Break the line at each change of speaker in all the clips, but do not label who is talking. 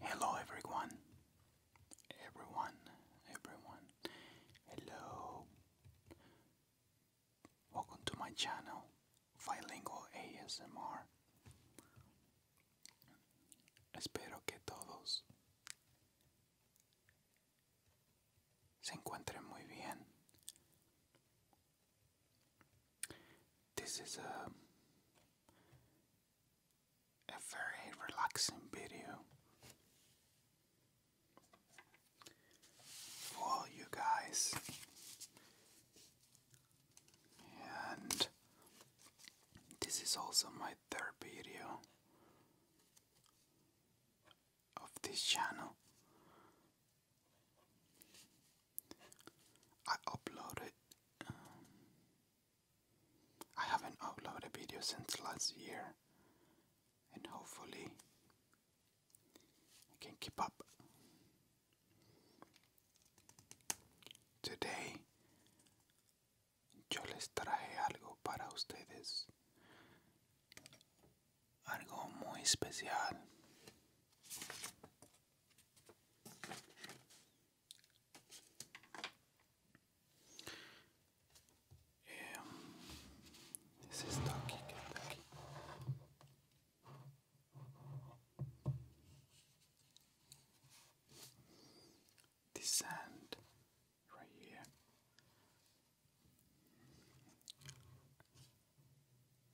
Hello everyone. Everyone, everyone. Hello. Welcome to my channel, Bilingual ASMR. Espero que todos se encuentren muy bien. This is a um, a very relaxing video for you guys and this is also my third video of this channel I uploaded. Um, I haven't uploaded a video since last year, and hopefully, I can keep up. Today, yo les traje algo para ustedes, algo muy especial. Um, this is Ducky Kentucky. The sand right here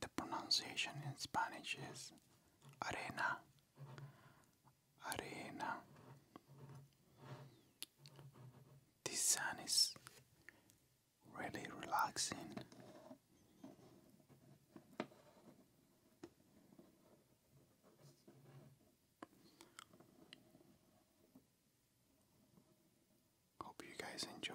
the pronunciation in Spanish is arena, arena. This sun is really relaxing. Hope you guys enjoy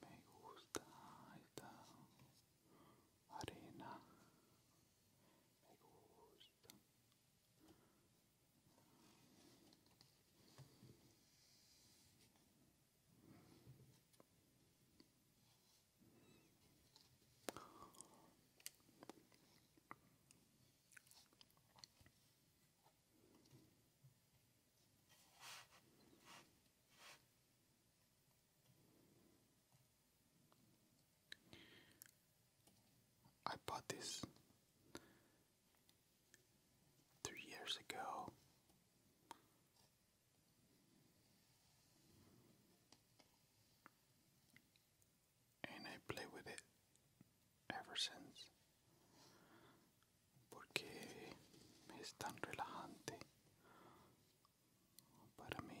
Me gusta esta arena. Me gusta. I bought this three years ago. And I play with it ever since. porque es tan relajante para mí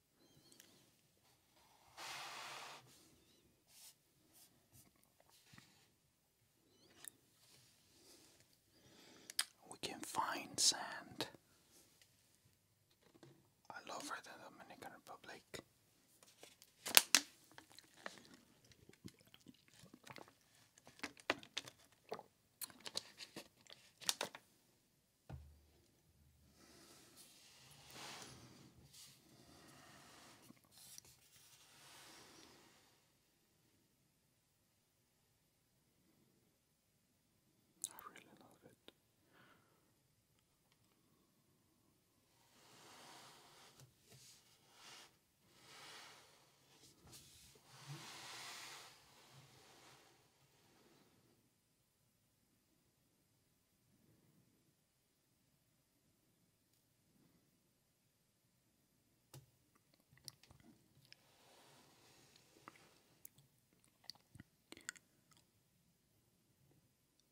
We can find sand all over the Dominican Republic. I really love it.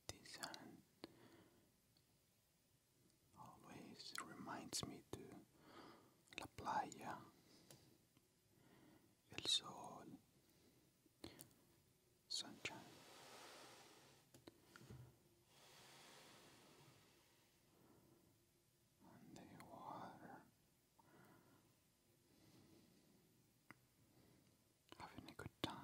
This hand always reminds me to La Playa, El Sol, sunshine. And the Having a good time.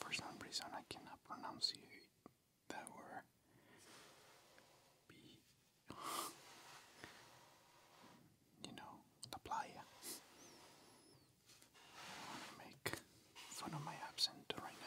For some reason, I cannot pronounce that word be, you know, la playa. I want to make fun of my accent right now.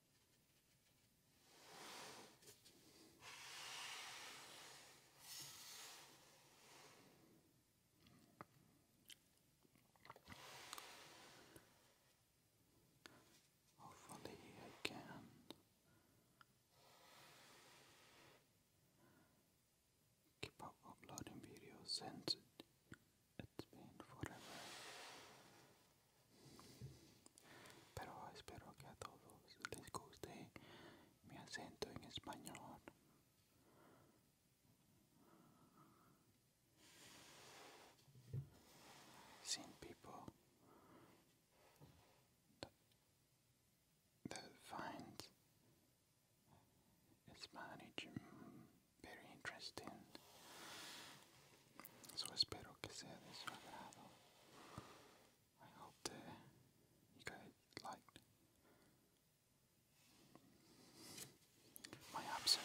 Hopefully, I can keep up uploading videos since it's been forever I hope que all todos les guste mi acento en español. Some people that find Spanish mm, very interesting. Eso espero que sea de su agrado. I hope that you guys liked my absent.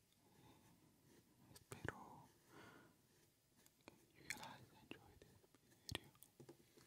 Espero you guys enjoyed this video.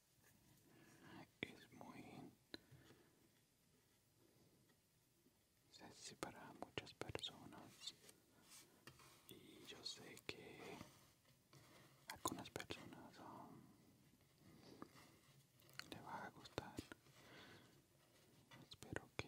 es muy sexy para muchas personas y yo sé que algunas personas le va a gustar espero que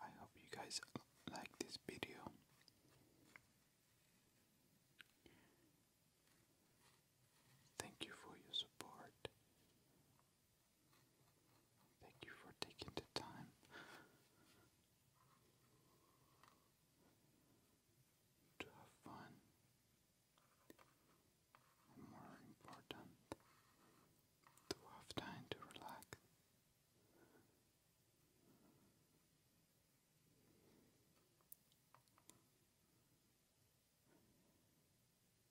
I hope you guys like this video. Thank you for your support. Thank you for taking the time. To have fun, more important, to have time to relax.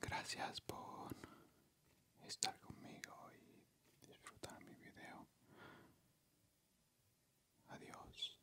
Gracias por estar conmigo y disfrutar mi video. Adiós.